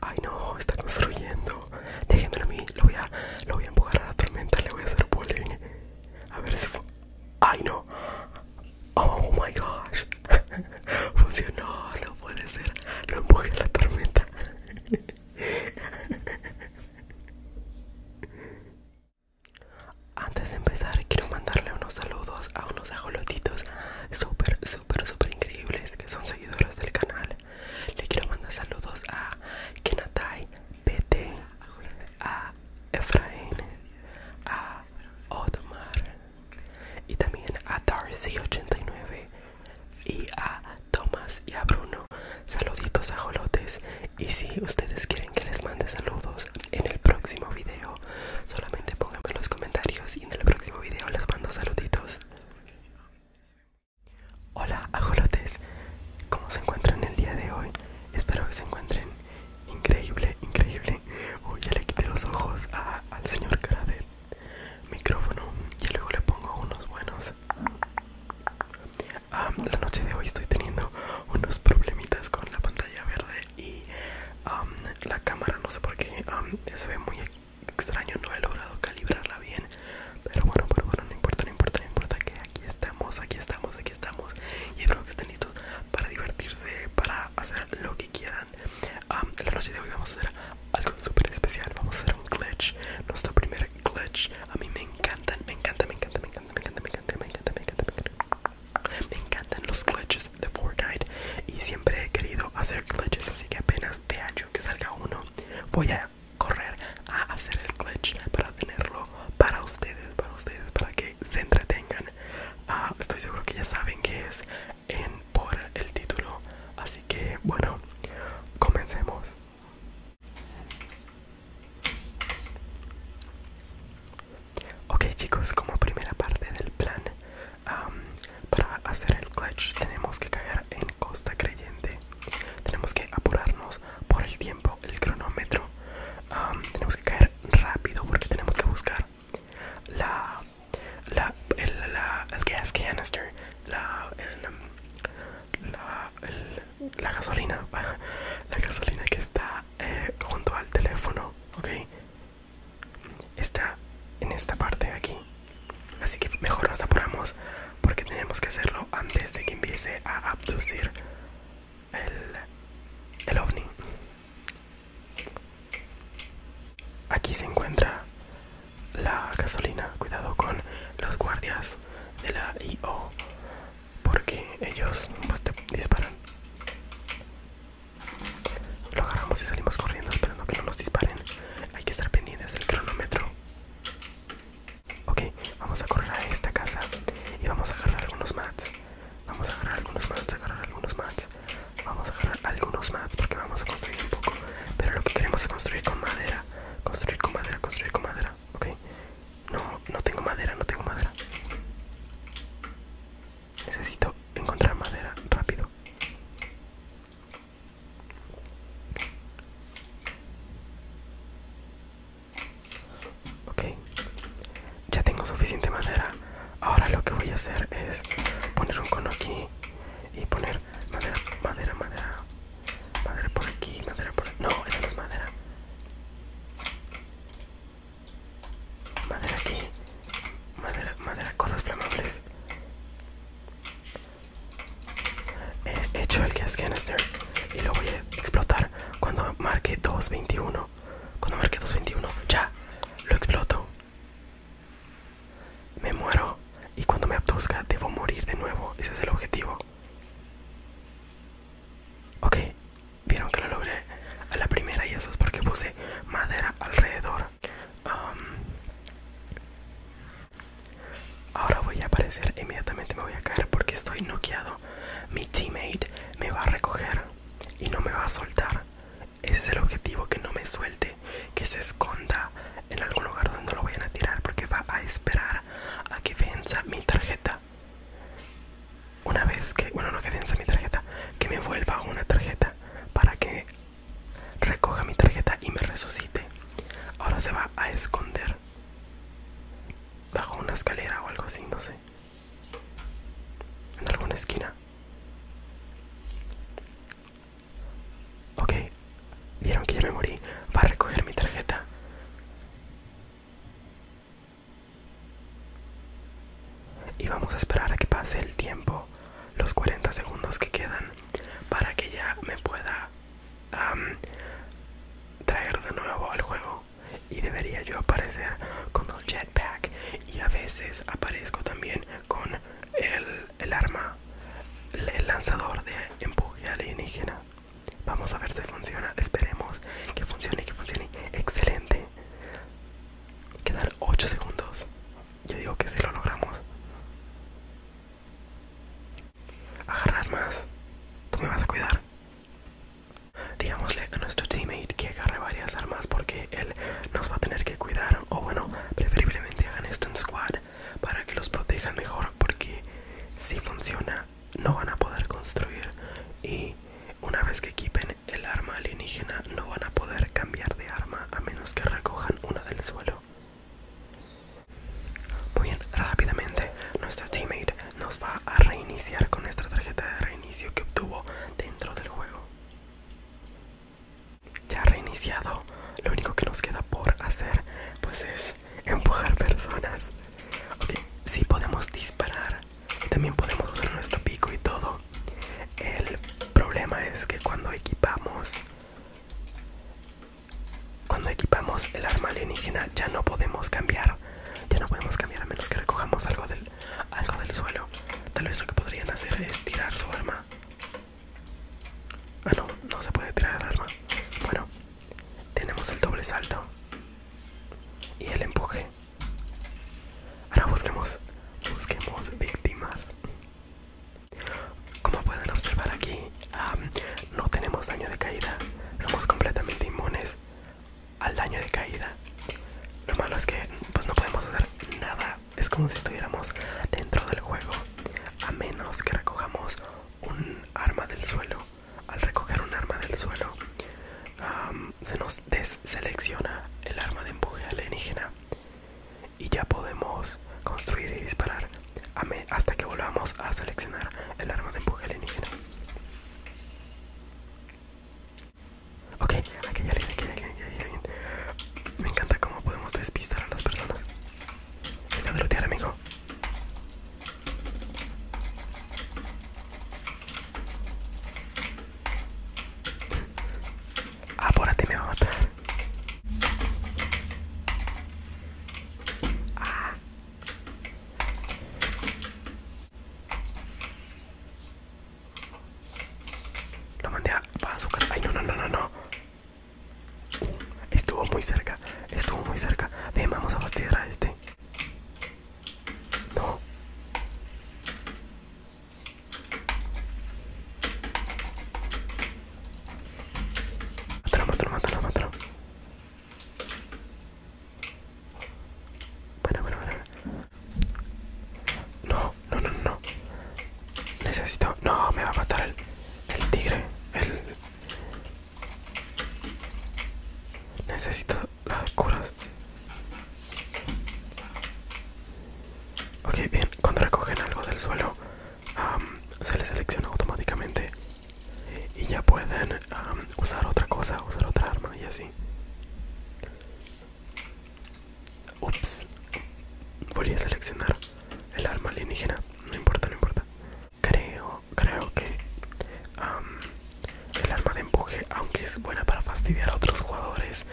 Ay no, está construyendo. Déjenme a mí, lo voy a, lo voy a empujar a la tormenta, le voy a hacer bullying. A ver si fue. Ay no. Oh my gosh. Funcionó, no puede ser. Lo empujé a la tormenta. Antes de empezar, quiero mandarle unos saludos a unos ajolotitos super súper, súper increíbles que son seguidoras del canal. Le quiero mandar saludos a Kenatay PT, a Efraín, a Otmar y también a Darcy89 y a Tomás y a Bruno. Saluditos a Jolotes. Y si ustedes quieren que les mande saludos en el próximo video, solamente pónganme en los comentarios y en el próximo video les mando saluditos. Hola ajolotes, ¿cómo se encuentran el día de hoy? Espero que se encuentren increíble, increíble. Hoy ya le quité los ojos al señor cara del micrófono y luego le pongo unos buenos. Ah, la noche de hoy estoy teniendo unos problemitas con la pantalla verde y la cámara, no sé por qué, se ve muy extraño, no he logrado calibrarla bien. Pero bueno, pero bueno, no importa, no importa, no importa que aquí estamos, aquí estamos, aquí estamos. Y espero que estén listos para divertirse, para hacer lo que quieran. en la noche de hoy vamos a hacer algo súper especial. Vamos a hacer un glitch, nuestro primer glitch. A mí me encantan, me encanta, me encanta, me encanta, me encanta, me encanta, me encanta, me encanta, me encanta. Me encantan los glitches de Fortnite y siempre he querido hacer glitches, así que apenas te yo que salga uno, voy a correr a hacer el glitch para tenerlo para ustedes, para ustedes, para que se entretengan. Ah, estoy seguro que ya saben que es en por el título, así que bueno, comencemos. Ok chicos, como primera parte del plan para hacer el clutch tenemos que caer en costa creyente tenemos que apurarnos por el tiempo el cronómetro tenemos que caer rápido porque tenemos que buscar la el, gas canister la gasolina la gasolina que está eh, junto al teléfono ok está en esta parte de aquí así que mejor nos apuramos porque tenemos que hacerlo antes de que empiece a abducir el, el ovni aquí se encuentra la gasolina cuidado con los guardias de la IO porque ellos pues, te disparan lo agarramos y salimos corriendo esperando que no nos disparen. Hay que estar pendientes del cronómetro. Ok, vamos a correr a esta casa y vamos a agarrar algunos mats. Vamos a agarrar algunos mats, agarrar algunos mats. Vamos a agarrar algunos mats porque vamos a construir un poco. Pero lo que queremos es construir con madera. Construir con madera, construir con madera. Ok. No, no tengo madera, no tengo madera. Necesito encontrar madera rápido. Ok, ya tengo suficiente madera. Ahora lo que voy a hacer es poner un cono aquí y poner madera, madera, madera, madera por aquí, madera por aquí. No, esa no es madera. Madera aquí. Madera, madera, cosas flamables. He hecho el gas canister y lo voy a explotar cuando marque 221. Cuando marque 221, ya lo exploto. Me muero y cuando me abduzca debo morir de nuevo. Ese es el objetivo. Ok, vieron que lo logré a la primera y eso es porque puse madera alrededor ahora voy a aparecer inmediatamente me voy a caer porque estoy noqueado mi teammate me va a recoger y no me va a soltar ese es el objetivo que no me suelte que se esconda en algún lugar donde lo vayan a tirar porque va a esperar a que venza mi tarjeta una vez que, bueno, no que piensa mi tarjeta, que me vuelva una tarjeta para que recoja mi tarjeta y me resucite. Ahora se va a esconder bajo una escalera o algo así, no sé. En alguna esquina. Ok, vieron que yo me morí. Va a recoger mi tarjeta. Y vamos a esperar a que pase el tiempo, los 40 segundos que quedan, para que ya me pueda traer de nuevo al juego. Y debería yo aparecer con el jetpack. Y a veces aparezco también con el, el arma, el lanzador de empuje alienígena. Vamos a ver si funciona. Esperemos que funcione, que funcione. Excelente. Quedan 8 segundos. Yo digo que si lo logramos. Agarrar más. Tú me vas a cuidar. Digámosle a nuestro teammate que agarre varias armas porque él nos va a tener que cuidar. O bueno, preferiblemente hagan esto en squad para que los protejan mejor porque si funciona no van a poder construir y una vez que equipen el arma alienígena no van a poder cambiar de arma a menos que recojan una del suelo. Muy bien, rápidamente nuestro teammate nos va a reiniciar con nuestra tarjeta de reinicio que obtuvo dentro del juego. Ya reiniciado, lo único que nos queda por hacer pues es empujar personas. si podemos disparar también podemos usar nuestro pico y todo. El problema es que cuando equipamos cuando equipamos el arma alienígena ya no podemos cambiar. Ya no podemos cambiar a menos que recojamos algo del algo del suelo. Tal vez lo que podrían hacer es tirar su arma. Ah no, no se puede tirar el arma. Bueno, tenemos el doble salto y el empuje. Ahora busquemos, busquemos víctimas. Como pueden observar aquí, no tenemos daño de caída. Somos completamente inmunes al daño de caída. Lo malo es que pues no podemos hacer nada. Es como si estuviéramos dentro del juego. A menos que recojamos un arma del suelo al recoger un arma del suelo, se nos deselecciona el arma de empuje alienígena y ya podemos construir y disparar hasta que volvamos a seleccionar el arma de empuje alienígena. Ok, aquí Me encanta cómo podemos despistar a las personas. Deja de lootear, amigo. ¡Ah, por Apúrate, me va a matar. Ah. Lo mandé a, a su casa. Ay, no, no, no, no. Estuvo muy cerca, estuvo muy cerca. Ven, vamos a fastidiar a este. No. Mátalo, mátalo, mátalo, mátalo. Bueno, bueno, bueno. No, no, no, no. Necesito... No, me va a matar el, el tigre. El... Necesito las curas. Ok, bien, cuando recogen algo del suelo, se les selecciona automáticamente y ya pueden usar otra cosa, usar otra arma y así. Ups, volví a seleccionar el arma alienígena no importa no importa creo creo que el arma de empuje aunque es buena para fastidiar a otros jugadores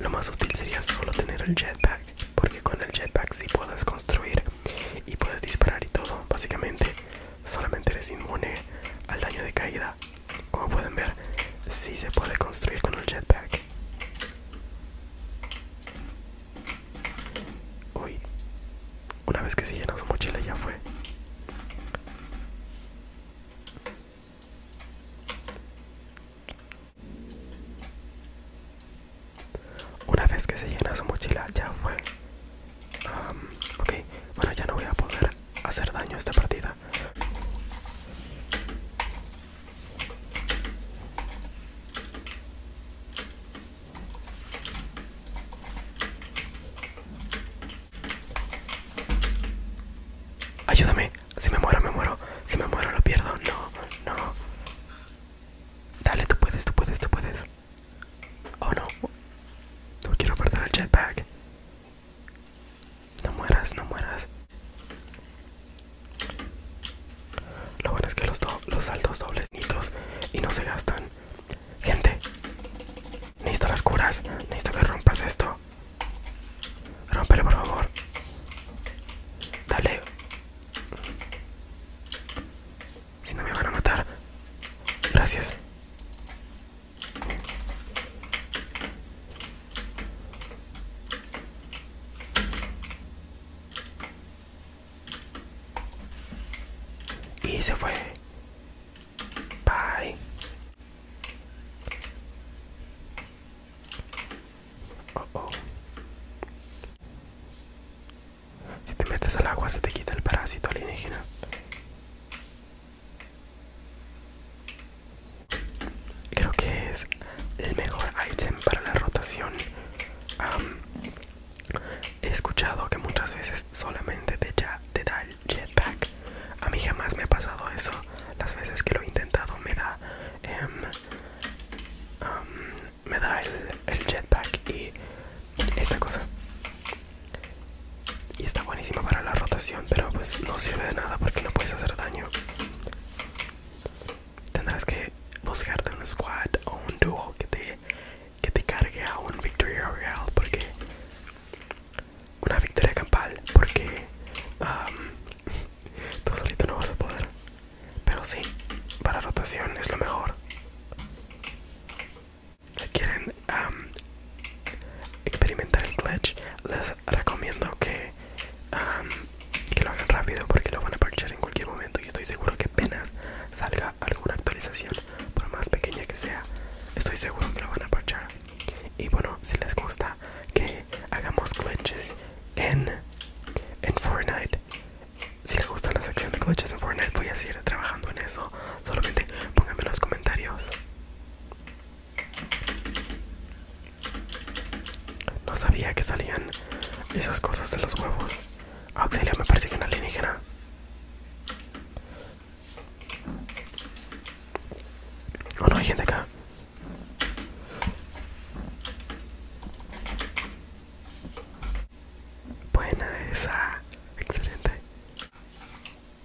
lo más útil sería solo tener el jetpack porque con el jetpack si sí puedes construir y puedes disparar y todo básicamente solamente eres inmune al daño de caída como pueden ver si se puede construir con el jetpack Uy, una vez que se llena su mochila ya fue. Una vez que se llena su mochila ya fue. ok, bueno ya no voy a poder hacer daño a esta partida. Ayúdame, si me muero, me muero, si me muero, lo pierdo, no, no. Dale, tú puedes, tú puedes, tú puedes. Oh no, no quiero perder el jetpack. No mueras, no mueras. Lo bueno es que los, saltos dobles nitos y no se gastan. Gente, necesito las curas. Necesito que rompas esto. Rompelo, por favor. Dale. Si no me van a matar. Gracias. Y se fue. Bye. Oh, oh. Si te metes al agua se te quita el parásito alienígena. Creo que es el mejor item para la rotación. he escuchado que muchas veces solamente te, ya, te da el jetpack. A mí jamás me ha pasado eso. Las veces que lo he intentado me da, em, me da el, el jetpack y esta cosa. Y está buenísima para la rotación, pero pues no sirve de nada porque no puedes hacer daño. Tendrás que buscarte un squad o un duo que te, te cargue a un Victoria real porque una victoria campal porque tú solito no vas a poder pero sí para rotación es lo mejor si quieren experimentar el clutch les recomiendo que que lo hagan rápido porque lo van a parchar en cualquier momento y estoy seguro que apenas salga alguna actualización por más pequeña que sea estoy seguro que lo van a parchar y bueno si les gusta que hagamos clutches en en Fortnite si les gusta la sección de clutches en Fortnite voy a seguir trabajando en eso solamente pónganme los comentarios no sabía que salían esas cosas de los huevos. Auxilio, me parece que una alienígena. Oh, no hay gente acá. Buena esa. Excelente.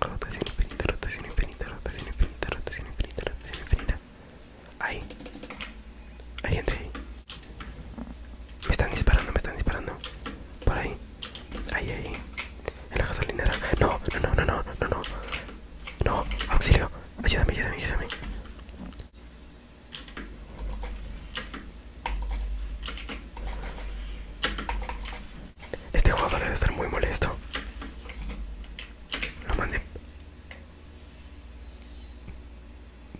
Rotación infinita, rotación infinita, rotación infinita, rotación infinita, rotación infinita. Ahí. Hay gente ahí. Me están disparando, me están disparando. Por ahí. Ahí, ahí. En la gasolinera. No, no, no, no, no, no, no. No, auxilio. Ayúdame, ayúdame, ayúdame. Este jugador debe estar muy molesto. Lo mandé.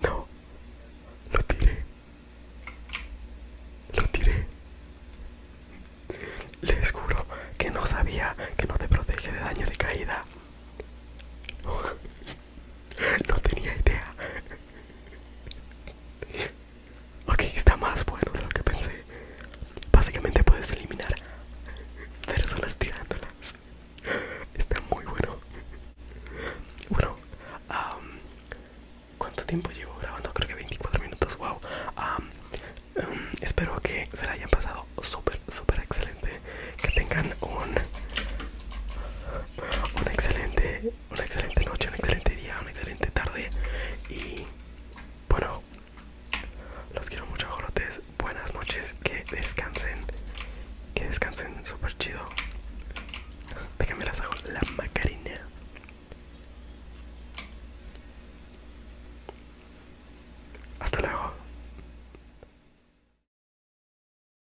No. Lo tiré. Lo tiré. Les juro que no sabía que no te protege de daño de caída. No tenía idea. Ok, está más bueno de lo que pensé. Básicamente puedes eliminar, pero solo Está muy bueno. Bueno, ¿cuánto tiempo llevo grabando? Creo que 24 minutos. Wow. Em, espero que se la hayan pasado súper, súper excelente. Que tengan un, un excelente una excelente noche, un excelente día, una excelente tarde. Y bueno, los quiero mucho, jolotes. Buenas noches, que descansen, que descansen súper chido. Déjenme las hago la macarina Hasta luego.